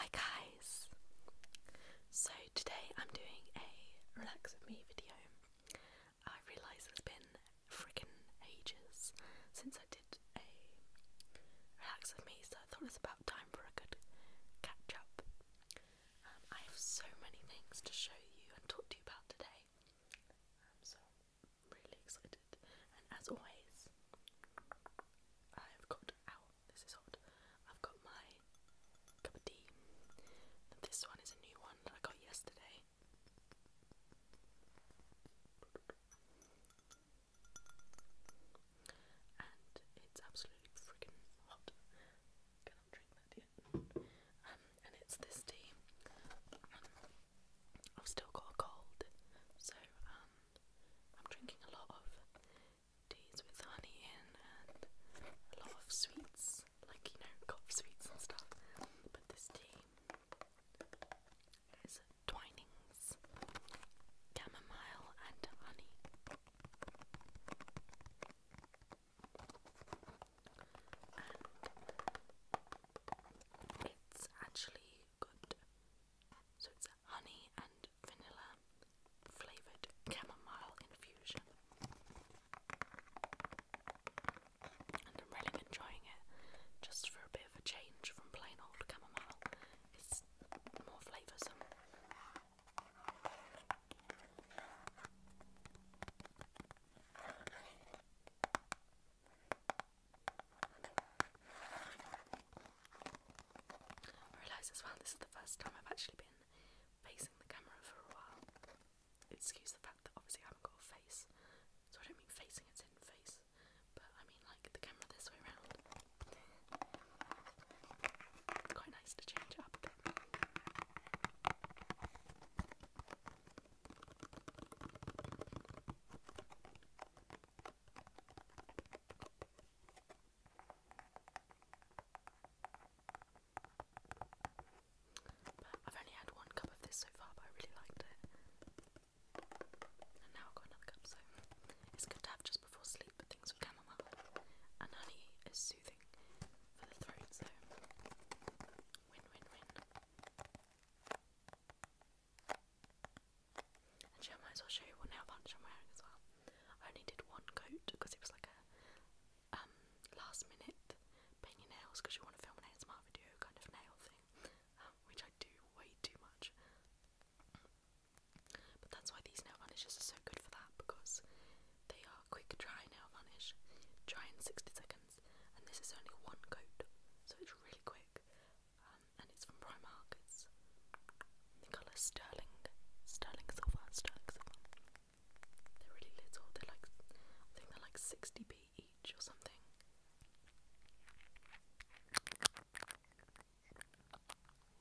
Hi guys! So today I'm doing a relax with me video. I realise it's been freaking ages since I did a relax with me, so I thought it was about time for a good catch up. Um, I have so many things to show you and talk to you about today, um, I'm really excited. And as always, I've got our this is hot. I've got my cup of tea. And this one is a new one that I got yesterday. And it's absolutely freaking hot. Cannot drink that yet. Um, and it's this tea. Um, I've still got a cold, so um, I'm drinking a lot of teas with honey in and a lot of sweets, like you know, cough sweets and stuff. But this tea is Twinings, chamomile, and honey. it's actually good. So it's honey and vanilla flavored chamomile infusion. And I'm really enjoying it just for a bit of a change from plain old chamomile. It's more flavoursome. I realise as well this is the first time I've actually been facing the camera for a while. Excuse the fact that obviously I haven't got face, so I don't mean facing its in face, but I mean like the camera this way round. Quite nice to change up I've only had one cup of this so far, but I really liked it. And now I've got another cup, so it's good to have just before sleep. But things with chamomile and honey is soothing for the throat, so win win win. Actually, I might as well show you what nail varnish I'm wearing as well. I only did one coat because it was like a um, last minute paint your nails because you want to film an ASMR video kind of nail thing, um, which I do way too much. But that's why these nail varnishes are so good for that because they are quick dry nail varnish, dry in 60 seconds, and this is only one coat, so it's really quick. Um, and it's from Primark. It's the colour sterling, sterling silver, sterling They're really little. They're like, I think they're like 60p each or something.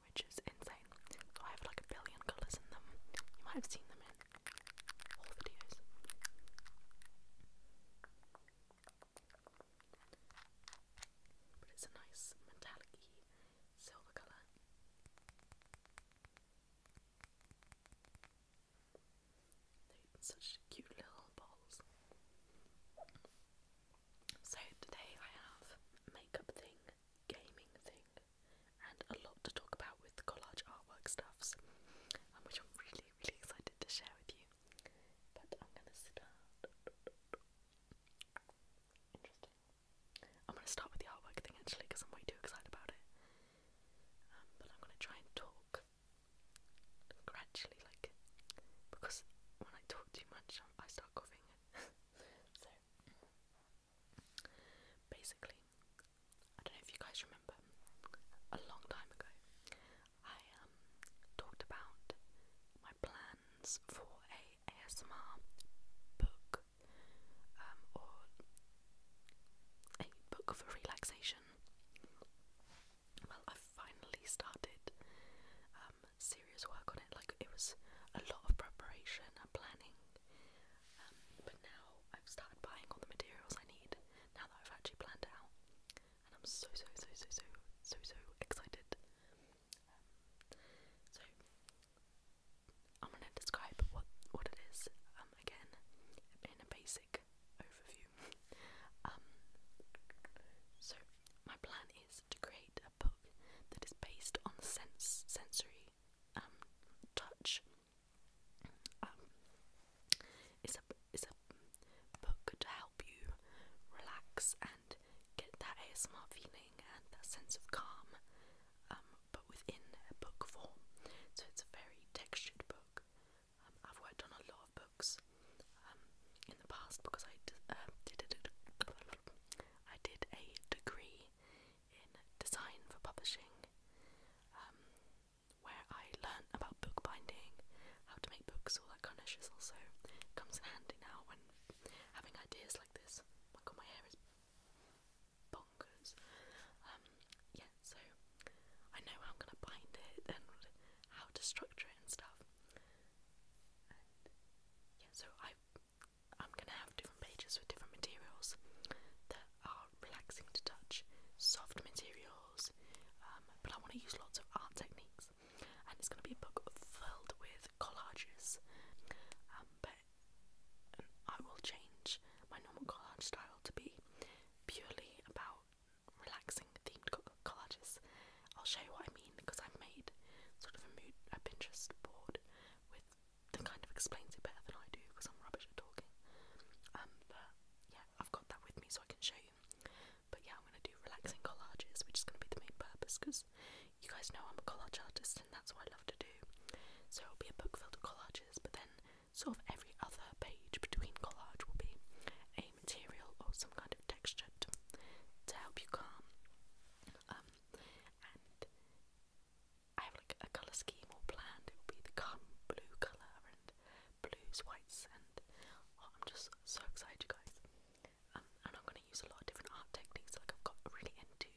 Which is insane. So I have like a billion colours in them. You might have seen them in all videos. But it's a nice metallic silver color such cute little balls. So today I have makeup thing, gaming thing, and a lot to talk about with collage artwork stuffs, um, which I'm really, really excited to share with you. But I'm gonna start I'm gonna start with the artwork thing actually because I'm way too excited about it. Um, but I'm gonna try and talk gradually, like because when I talk too much, um, I start coughing. so basically, I don't know if you guys remember a long time ago, I um, talked about my plans for a ASMR book um, or a book for relaxation. Well, I finally started um, serious work on it. Like it was a lot of preparation and planning, um, but now I've started buying all the materials I need. Now that I've actually planned out, and I'm so so so so so so so excited. Um, so I'm gonna describe what what it is um again in a basic overview. um, so my plan is to create a book that is based on sense sensory um touch. Um, it's a it's a book to help you relax and get that ASMR feeling and that sense of calm, um, but within a book form. So it's a very textured book. Um, I've worked on a lot of books um, in the past because I did, uh, um, did a, I did a degree in design for publishing, um, where I learned about bookbinding how to make books, all that kind of shizzle, so comes in handy now when having ideas like this. My god, my hair is bonkers. Um, yeah, so I know I'm gonna bind it and how to structure it and stuff. yeah, so I, I'm gonna have different pages with different materials that are relaxing to touch, soft materials, um, but I want to use lots of art techniques. And it's going to be a book filled with collages. Um, but um, I will change my normal collage style to be purely about relaxing themed collages. I'll show you what I mean because I've made sort of a mood, Pinterest board with that kind of explains it better than I do because I'm rubbish at talking. Um, but yeah, I've got that with me so I can show you. But yeah, I'm gonna do relaxing collages, which is gonna be the main purpose you guys know I'm a collage artist and that's what I love to do. So it'll be a book filled with collages, but then sort of every other page between collage will be a material or some kind of texture to, help you calm. Um, and I have like a colour scheme all planned. It will be the calm blue colour blues, white sand. Oh, I'm just so excited, you guys. Um, and I'm going to use a lot of different art techniques. Like I've got really into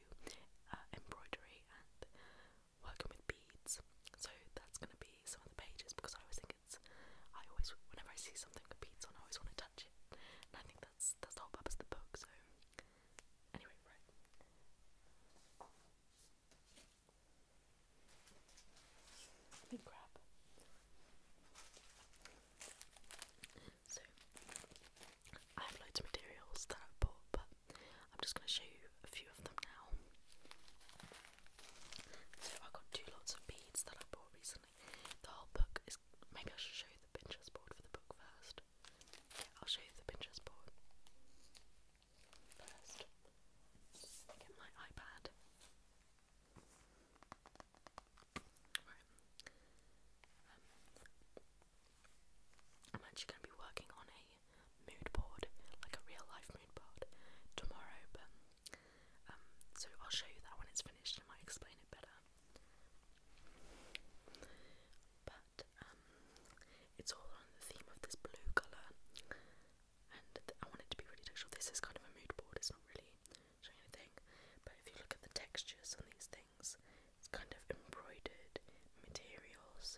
uh, embroidery and working with beads. So that's going to be some of the pages because I always think it's. I always, whenever I see something with beads on, I always want to touch it. And I think that's that's the whole purpose of the book. So anyway, right. Let me grab. So, I have loads of materials that i bought, but I'm just going to show you a few of them now. So, I got two lots of beads that I bought recently. The whole book is. Maybe I should show you the Pinterest board for the book first. I'll show you the Pinterest board first. Get my iPad. Um, I'm actually going to be working on a mood board, like a real life mood board, tomorrow. But um, so I'll show you that when it's finished. I explain it better. But um, it's all on the theme of this blue colour and I want it to be really textural. This is kind of a mood board, it's not really showing anything, but if you look at the textures on these things, it's kind of embroidered materials,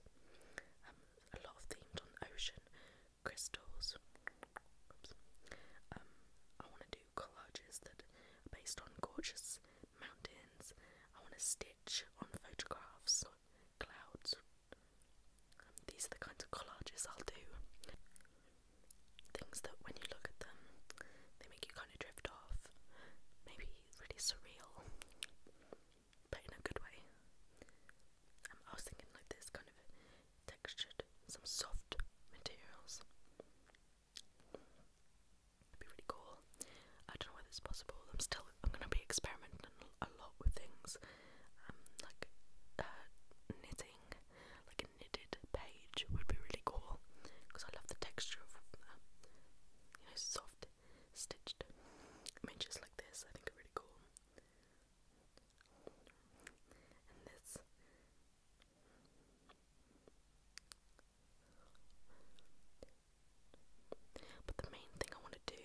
um, a lot of themes on ocean, crystals. Um, I want to do collages that are based on gorgeous mountains. I want to stitch on photographs, clouds, these are the kinds of collages I'll do. Things that when you look at them, they make you kind of drift off. Maybe really surreal, but in a good way. Um, I was thinking like this kind of textured, some soft materials. would be really cool. I don't know whether it's possible. I'm still. I'm gonna be experimenting a lot with things, um, like uh, knitting, like a knitted page would be really cool because I love the texture of you know soft stitched images like this. I think really cool. And this. But the main thing I want to do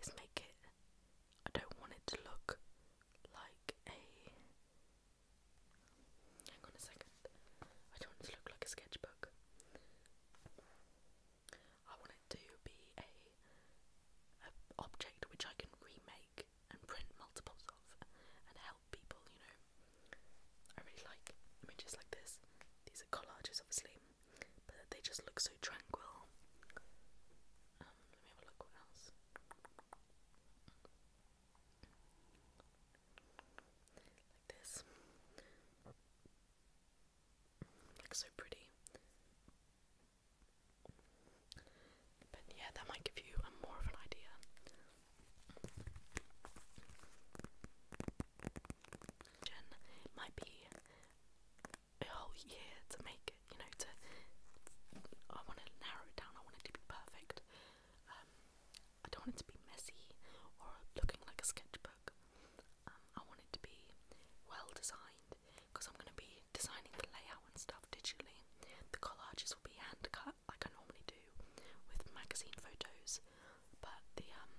is make it I don't want it to look like a. Hang on a second. I don't want to look like a sketchbook. I want it to be a, a object which I can remake and print multiples of and help people, you know. I really like images like this. These are collages obviously, but they just look so tranquil. Um, let me have a look what else. Like this. Looks so pretty. But yeah, that might give you a more of an idea. It might be a whole year to make it, you know, to I want to narrow it down, I want it to be perfect. Um, I don't want it to be messy or looking like a sketchbook. Um, I want it to be well designed because I'm going to be designing the layout and stuff digitally. The collages will be hand cut like I normally do with magazine photos, but the um,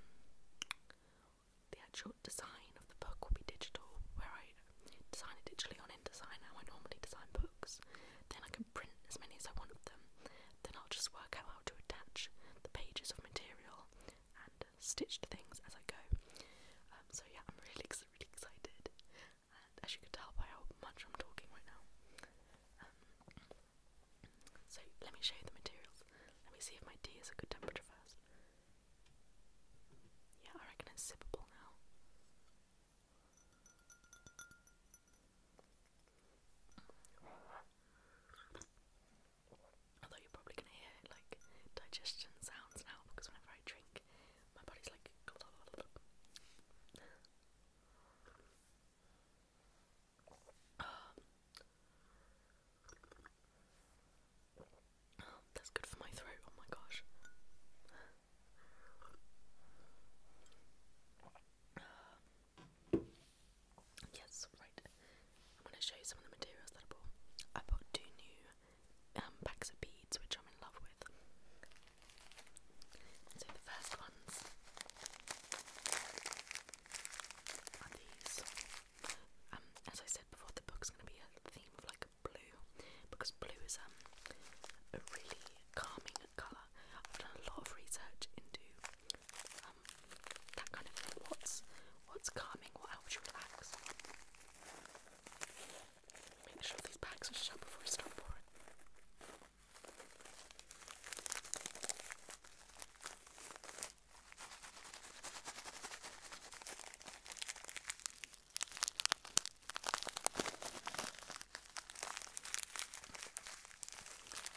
the actual actual design of the book will be digital, where I design it digitally on InDesign, how I normally design books. Then I can print as many as I want of them. Then I'll just work out how to attach the pages of material and stitch things as I go. Um, so yeah, I'm really, really excited. And as you can tell by how much I'm talking right now. Um, so let me show you the materials. Let me see if my tea is a good temperature first. Yeah, I reckon it's sipable now. Although you're probably gonna hear like digestion sounds now because whenever I drink, my body's like. Oh, that's good for my throat, oh my gosh. yes, right. I'm going to show you some of the materials that I bought. I bought two new um, packs of beads, which I'm in love with. So the first ones are these. Um, as I said before, the book's going to be a theme of like blue because blue is um, a really calming colour. I've done a lot of research into um that kind of thing. What's what's calming, what helps you relax? Make sure these bags are shut before I start pouring.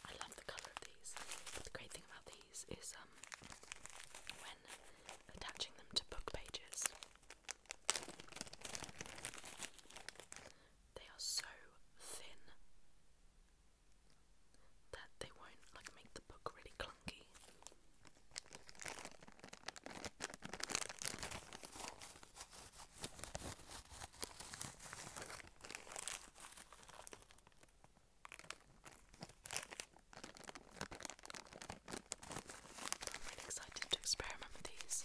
I love the colour of these. the great thing about these is um when attaching them to book pages they are so thin that they won't like make the book really I'm really excited to experiment with these.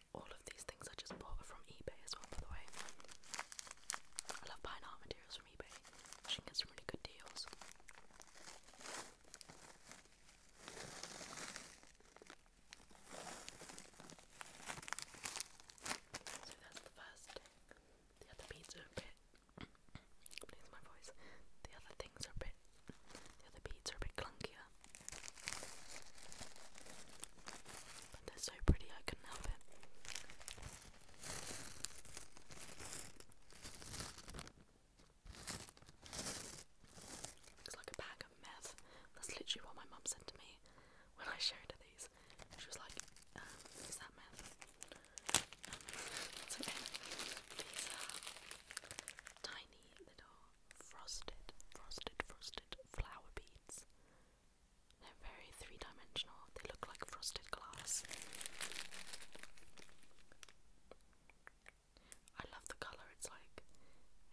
All of these things I just bought are from eBay as well, by the way. I love buying art materials from eBay. I can really good deals. So that's the first The other beads are a bit. Please my voice. The other things are a bit. The other beads are a bit clunkier. But they're so pretty, I couldn't help it. Looks like a bag of meth. That's literally what my mum said to me when I showed her these. She was like, um, is that meth? Um, These are tiny little frosted, frosted, frosted flower beads. They're very three dimensional, they look like frosted glass. I love the colour, it's like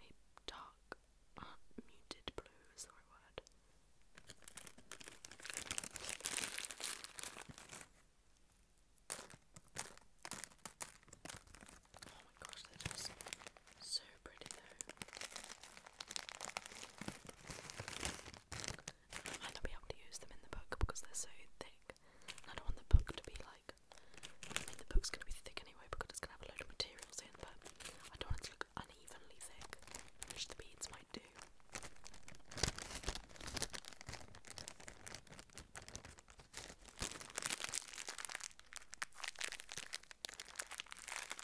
a dark, uh, muted blue is the my gosh, that is so pretty though. I might not be able to use them in the book because they're so thick. I don't want the book to be like. the book's gonna be thick anyway because it's gonna have a load of materials in, but I don't want it to look unevenly thick, which the beads might do.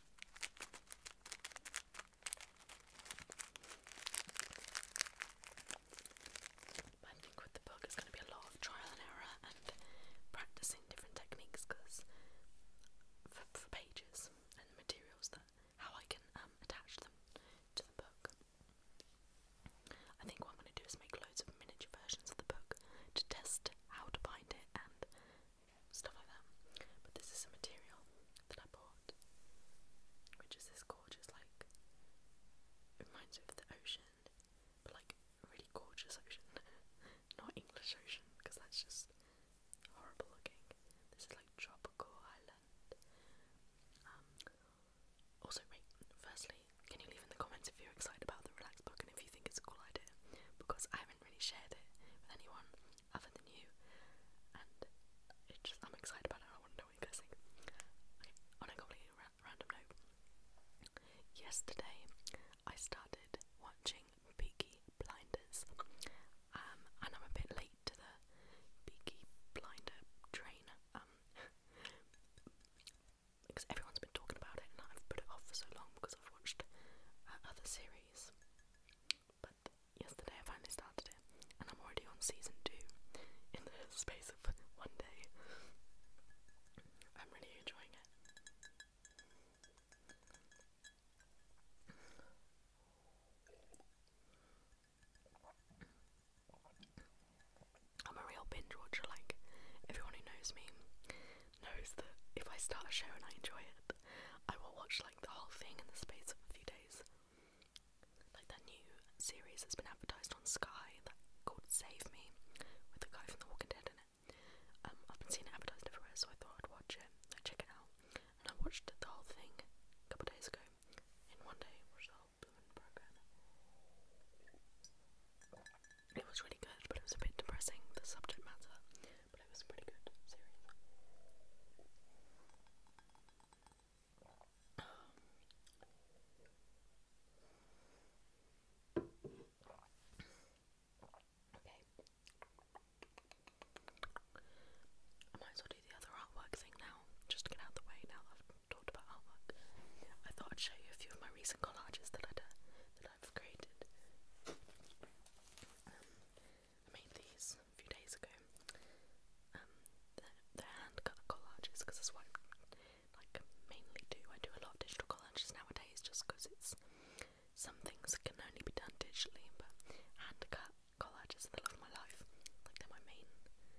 I think with the book, it's going to be a lot of trial and error and practicing different techniques because for, pages and materials that how I can um, attach them to the book. I think what I'm going to do is make loads of miniature versions of the book to test how to bind it and stuff like that. But this is a material that I bought, which is this gorgeous, like, reminds me of the ocean, but like really gorgeous ocean, not English ocean, because that's just horrible looking. This is like tropical island. Um, also, firstly, can you leave in the comments? if you're excited about the Relax book and if you think it's a cool idea, because I haven't really shared it with anyone other than you, and I'm excited about it. I want to know what you guys think. on a completely random note, yesterday I started watching Peaky Blinders, um, and I'm a bit late to the Peaky Blinder train. Um, because everyone's been talking about it and I've put it off for so long because I've watched uh, other series. But yesterday I finally started it and I'm already on season two in the space of one day. I'm really enjoying it. I'm a real binge watcher, like everyone who knows me knows that if I start a show and I enjoy it, I will watch like the whole thing in the space of a few days. Like that new series that's been advertised on Sky, that called Save Me, with the guy from The Walking Dead in it. Um, I've been seeing it advertised everywhere, so I thought I'd watch it, I'd uh, check it out. And I watched the whole thing a couple days ago. In one day, watched the whole program. It was really good, but it was a bit depressing, the subject matter, but it was a pretty good series. Um, okay. I might as well do the other artwork thing now, just to get out the way now I've talked about artwork. I thought I'd show you a few of my recent collages that I did, uh, that's created. I um, made these a few days ago. Um, hand cut collages because that's what I mainly do. I do a lot of digital collages nowadays just because it's some things can only be done digitally, but hand cut collages are the love of my life. Like they're my main thing.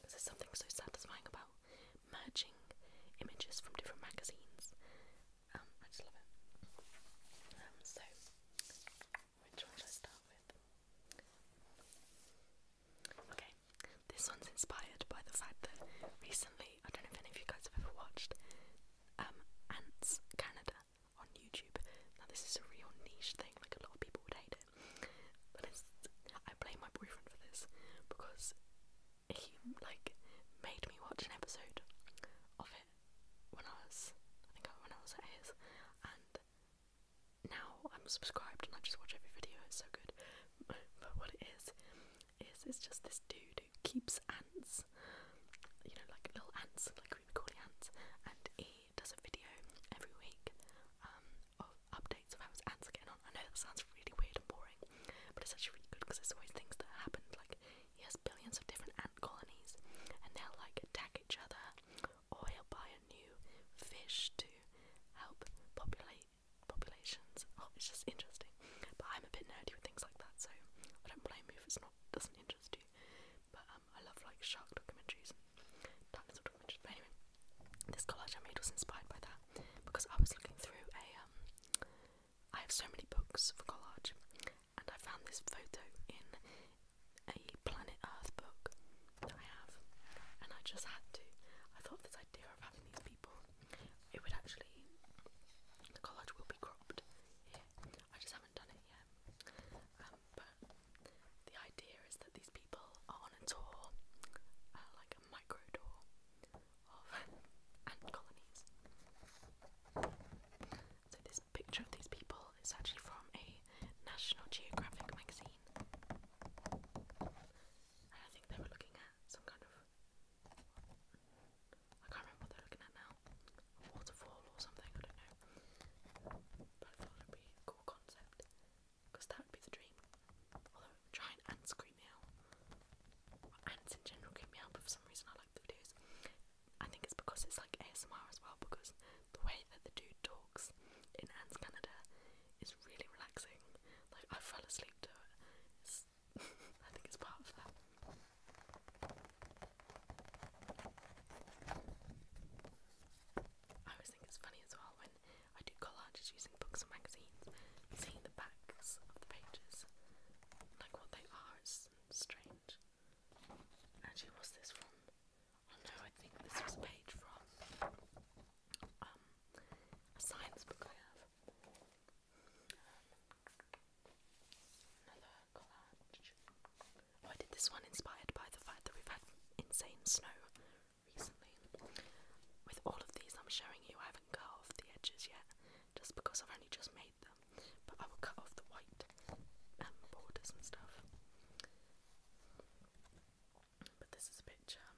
Because there's something so satisfying about merging images from different magazines. Um, I just love it. Um, so, which one should I start with? Okay, this one's inspired by the fact that recently, I don't know if any of you guys have ever watched um, Ants Canada on YouTube. Now, this is a real niche thing, like a lot of people would hate it. But it's, I blame my boyfriend for this because he like made me watch an episode of it when I was I think when I was his and now I'm subscribed and I just watch every video, it's so good. But what it is, is it's just this dude who keeps ants, you know, like little ants, like we would call ants, and he does a video every week um, of updates of how his ants are getting on. I know that sounds really weird and boring but it's actually really good because there's always things that happen. Like he has billions of different ant colonies, and they'll like attack each other, or he'll buy a new fish to help populate populations. Oh, it's just interesting. But I'm a bit nerdy with things like that, so I don't blame you if it's not doesn't interest you. But um, I love like shark documentaries dinosaur documentaries. But anyway, this collage I made was inspired by that because I was looking through a um, I have so many books for collage, and I found this photo in a Planet Earth book that I have, and I just had to. I thought this idea of having these people, it would actually, the collage will be cropped I just haven't done it yet. Um, but the idea is that these people are on a tour, uh, like a micro tour, of ant colonies. So this picture of these people is actually from a National Geographic magazine. I think they were looking at some kind of I can't remember what they're looking at now. waterfall or something, I don't know. But I thought it would be a cool concept. Because that would be the dream giant ants creep me out. Ants in general creep me out, but for some reason I like the videos. I think it's because it's like ASMR as well, because the way that the dude talks in Ants Canada is really relaxing. Like, I fell asleep to it. I think it's part of that. I always think it's funny as well when I do collages using books and magazines, seeing the backs of the pages, like what they are, it's strange. Actually, what's this from? Oh no, I think this was page from um, a science book I have. Another collage. Oh, I did this one inspired by the fact that we've had insane snow recently. With all of these I'm showing you, I haven't carved the edges yet, just because I've only just made them. But I will cut off the white um, borders and stuff. But this is a picture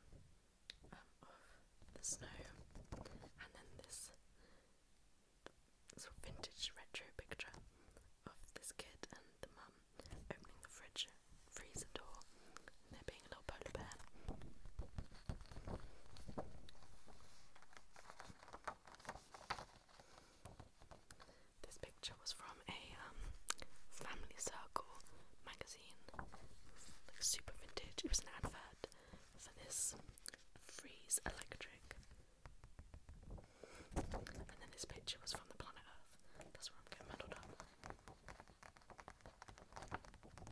um, of the snow, and then this sort of vintage retro picture of this kid and the mum opening the fridge freezer door there being a little polar bear. This picture was from a um, Family Circle magazine, like super vintage. It was an advert for this Freeze Electric. And then this picture was from the planet Earth. That's where I'm getting muddled up.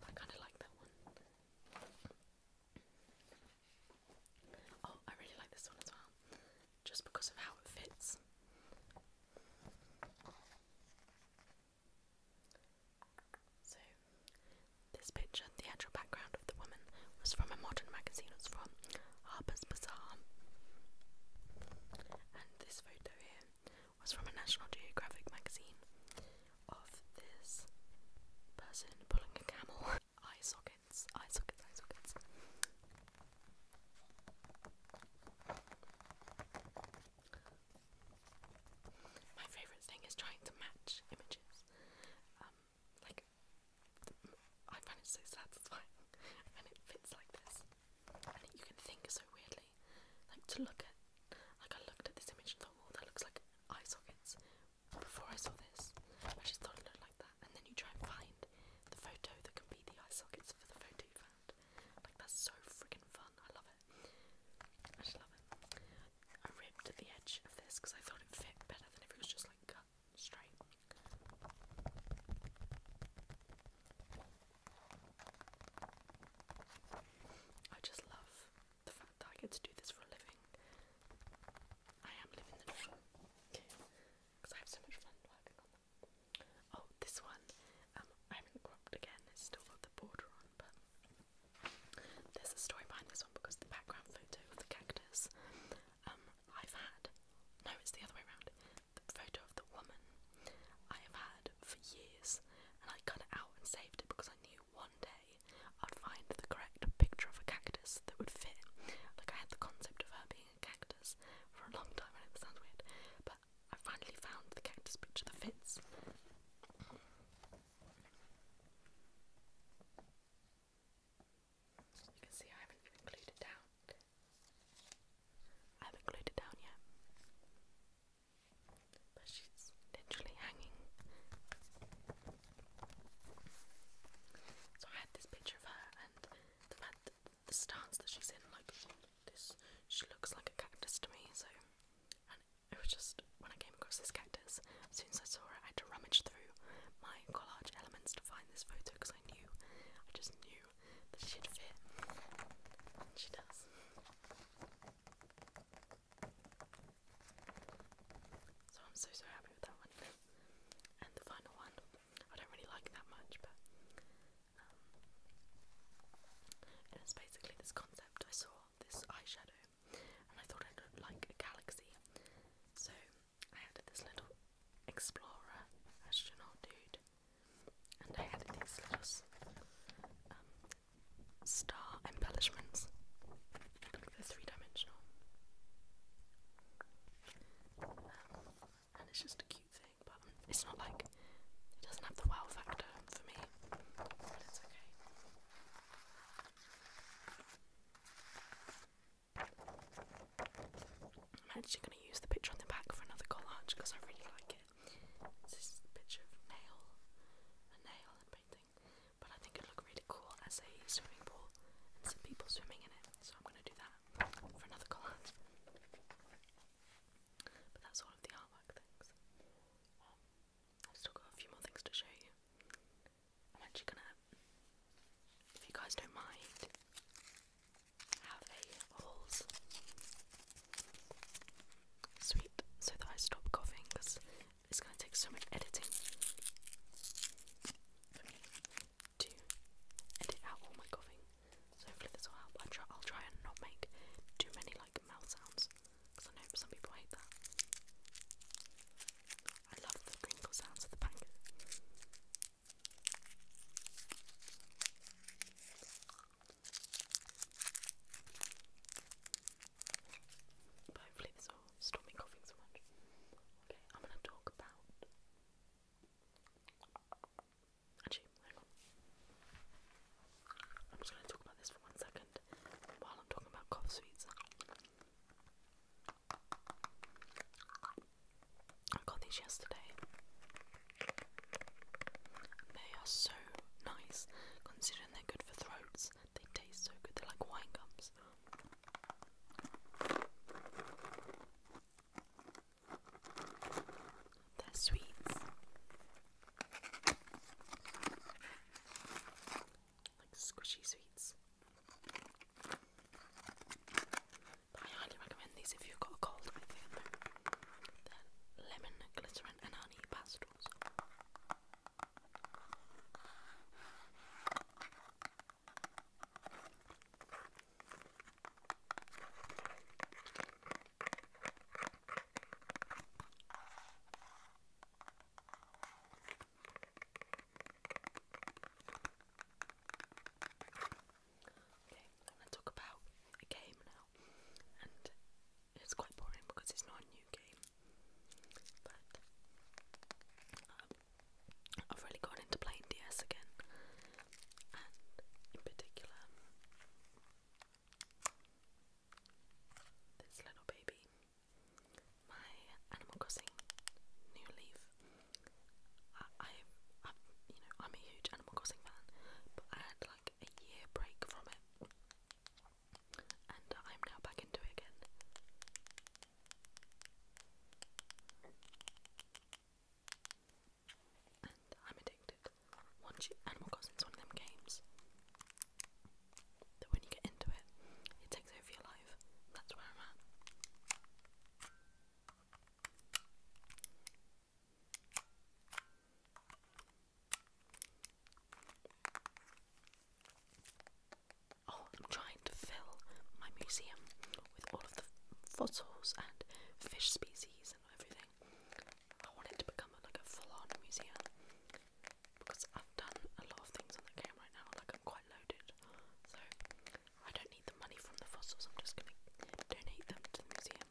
I kind of like that one. Oh, I really like this one as well, just because of how it fits. So, this picture, the actual background of the woman, was from a modern magazine, it from Harper's Bazaar. And this photo here was from a National Geographic magazine of this person pulling a camel. eye sockets, eye sockets, eye sockets. My favourite thing is trying to match images. Um, like, I find it so satisfying when it fits like this. And you can think so weirdly honestly. Like to look at like I looked at this image and thought, well that looks like eye sockets before I saw this. I just thought it looked like that. And then you try and find the photo that can be the eye sockets for the photo you found. Like that's so freaking fun. I love it. I just love it. I ripped the edge of this because I thought it fit better than if it was just like cut straight. I just love the fact that I get to do this for a living. I am living the dream because I have so much fun working on them. Oh, this one, um, I haven't cropped again, it's still got the border on, but there's a story behind this one because the background photo of the cactus, um, I've had, no, it's the other way around. The photo the woman I have had for years, and I cut it out and saved it because I knew one day I'd find the correct picture of a cactus that would fit. Like, I had the concept of her being a cactus for a long time, and it sounds weird, but I finally found the cactus picture that fits. You can see I haven't glued it down. I haven't glued it down yet. But she's literally hanging. So I had this picture of her and the the stance that she's in, like this, she looks like a cactus to me. So, and it was just when I came across this cactus, as soon as I saw it, I had to rummage through my collage elements to find this photo because I knew, I just knew that she'd fit. she does. So I'm so so happy with that one. and the final one, I don't really like that much, but um, and it's basically this concept. I saw this eyeshadow, and I thought it looked like a galaxy. So I had this little explorer astronaut dude and I added these little um, star embellishments. Look, three dimensional. Um, and it's just a cute thing, but it's not like it doesn't have the wow factor for me, but it's okay. I'm actually going to use the picture on the back for another collage because I really like it. This picture of nail, a nail and painting, but I think it'd look really cool as a swimming pool and some people swimming in it. So I'm gonna do that for another collage. But that's all of the artwork things. Um, i still got a few more things to show you. I'm actually gonna, if you guys don't mind, have a holes sweep so that I stop coughing because it's going to take so much editing to edit out all my coughing. So hopefully this will help. i try, I'll try and not make too many like mouth sounds because I know some people hate that. I love the crinkle sounds of the packet. But hopefully this will stop me coughing so much. Okay, I'm gonna talk about. Actually, I'm just gonna talk about this for one second while I'm talking about cough sweets. I got these yesterday. They are so nice, considering they're good for throats. They taste so good, they're like wine gums. They're sweets. Like squishy sweets. highly recommend these if you've got a cold, I think. lemon, glycerin, and honey pastels. Okay, I'm going to talk about a game now, and it's quite boring because it's not a new game, but um, I've really gone into playing DS again, and in particular, this little baby, my Animal Crossing New Leaf. I, I, you know, I'm a huge Animal Crossing fan, but I had like a year break from it, and I'm now back into it again. And I'm addicted. Once you, Animal one of them games that when you get into it, it takes over your life. That's where I'm at. Oh, I'm trying to fill my museum with all of the fossils and fish species and everything. I want it to become like a full-on museum because I've done a lot of things on the game right now. Like I'm quite loaded, so I don't need the money from the fossils. I'm just gonna donate them to the museum.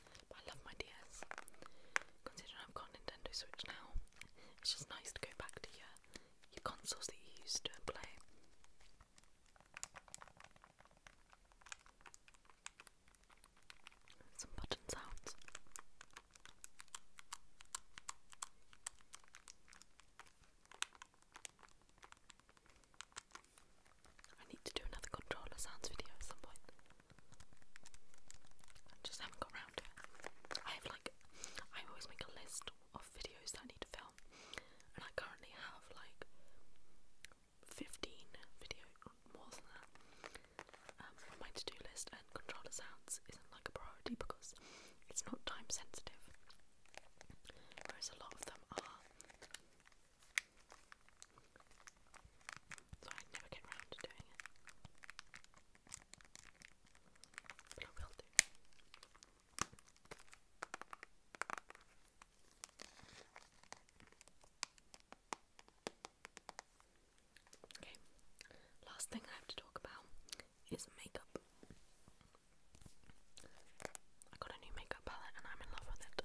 I love my DS. Considering I've got Nintendo Switch now, it's just nice to go back to your your consoles that you used to play. Some button sounds. I need to do another controller sounds video at some point. I just haven't got around it. I have like, I always make a list of videos that I need to film, and I currently have like 15 video more than that um, on my to-do list, and controller sounds isn't like a priority because it's not time sensitive. Whereas a lot of them are. So never get round to doing it. But I will do. Okay, last thing I have to talk about is makeup. I got a new makeup palette and I'm in love with it.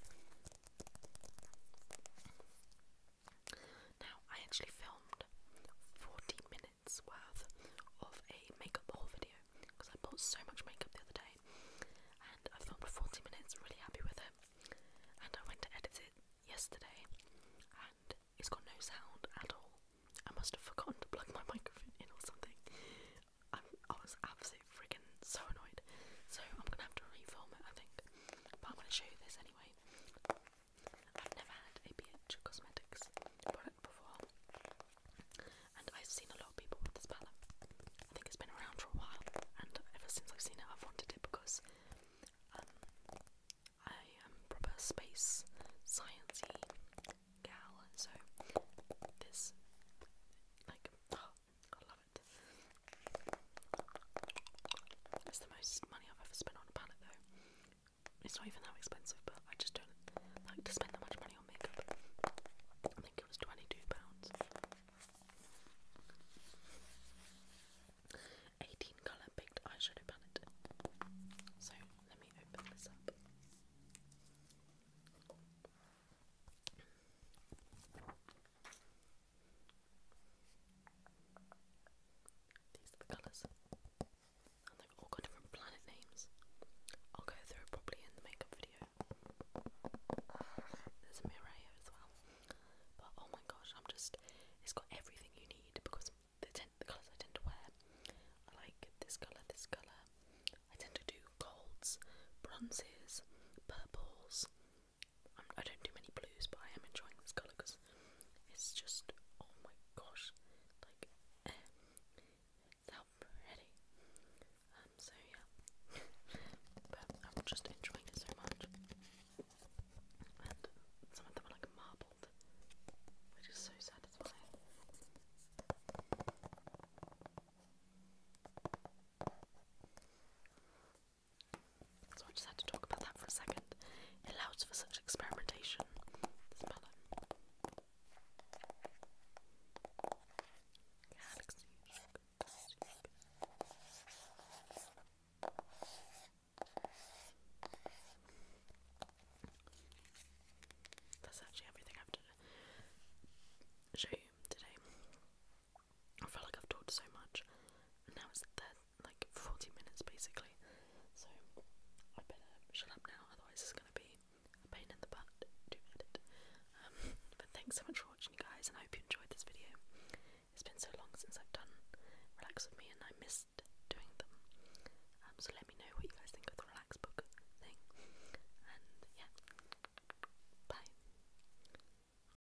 Now, I actually filmed 40 minutes worth of a makeup haul video because I bought so much makeup the other day and I filmed 40 minutes, really happy with it. And I went to edit it yesterday and it's got no sound at all. I must have forgotten to plug my microphone in or something. I'm, I was absolutely freaking so annoyed. So I'm gonna have to refilm it, I think. But I'm gonna show you this anyway. I've never had a BH Cosmetics product before, and I've seen a lot of people with this palette. I think it's been around for a while, and ever since I've seen it, I've wanted it because um, I am proper space sciencey gal, so this like I love it's the most money I've ever spent on a palette, though. It's not even that expensive, but I just don't like to spend that much money on makeup. I think it was twenty-two pounds. Eighteen colour baked eyeshadow palette. So let me open this up. These are the colours. And they've all got different planet names. I'll go through it in the makeup video. There's a mirror here as well. But oh my gosh, I'm just. It's got everything you need because the, colours I tend to wear. I like this colour, this colour. I tend to do golds, bronzes, purples, I'm, I am do not do many blues, but I am enjoying this colour because it's just, oh my gosh, like, eh, pretty. Um, so yeah, but I'm just enjoying it so much. And some of them are like marbled, which is so satisfying. So I just had to talk about that for a second. It allows for such experimentation. Smell it. That's actually everything I have to show you today. I feel like I've talked so much. And now it's there, like 40 minutes basically. So I better shut up now, otherwise it's gonna be a pain in the butt to edit. Um, but thanks so much for watching, you guys, and I hope you enjoyed this video. It's been so long since I've done Relax with me, and I missed doing them. Um, so let me know what you guys think of the Relax book thing. And yeah, bye.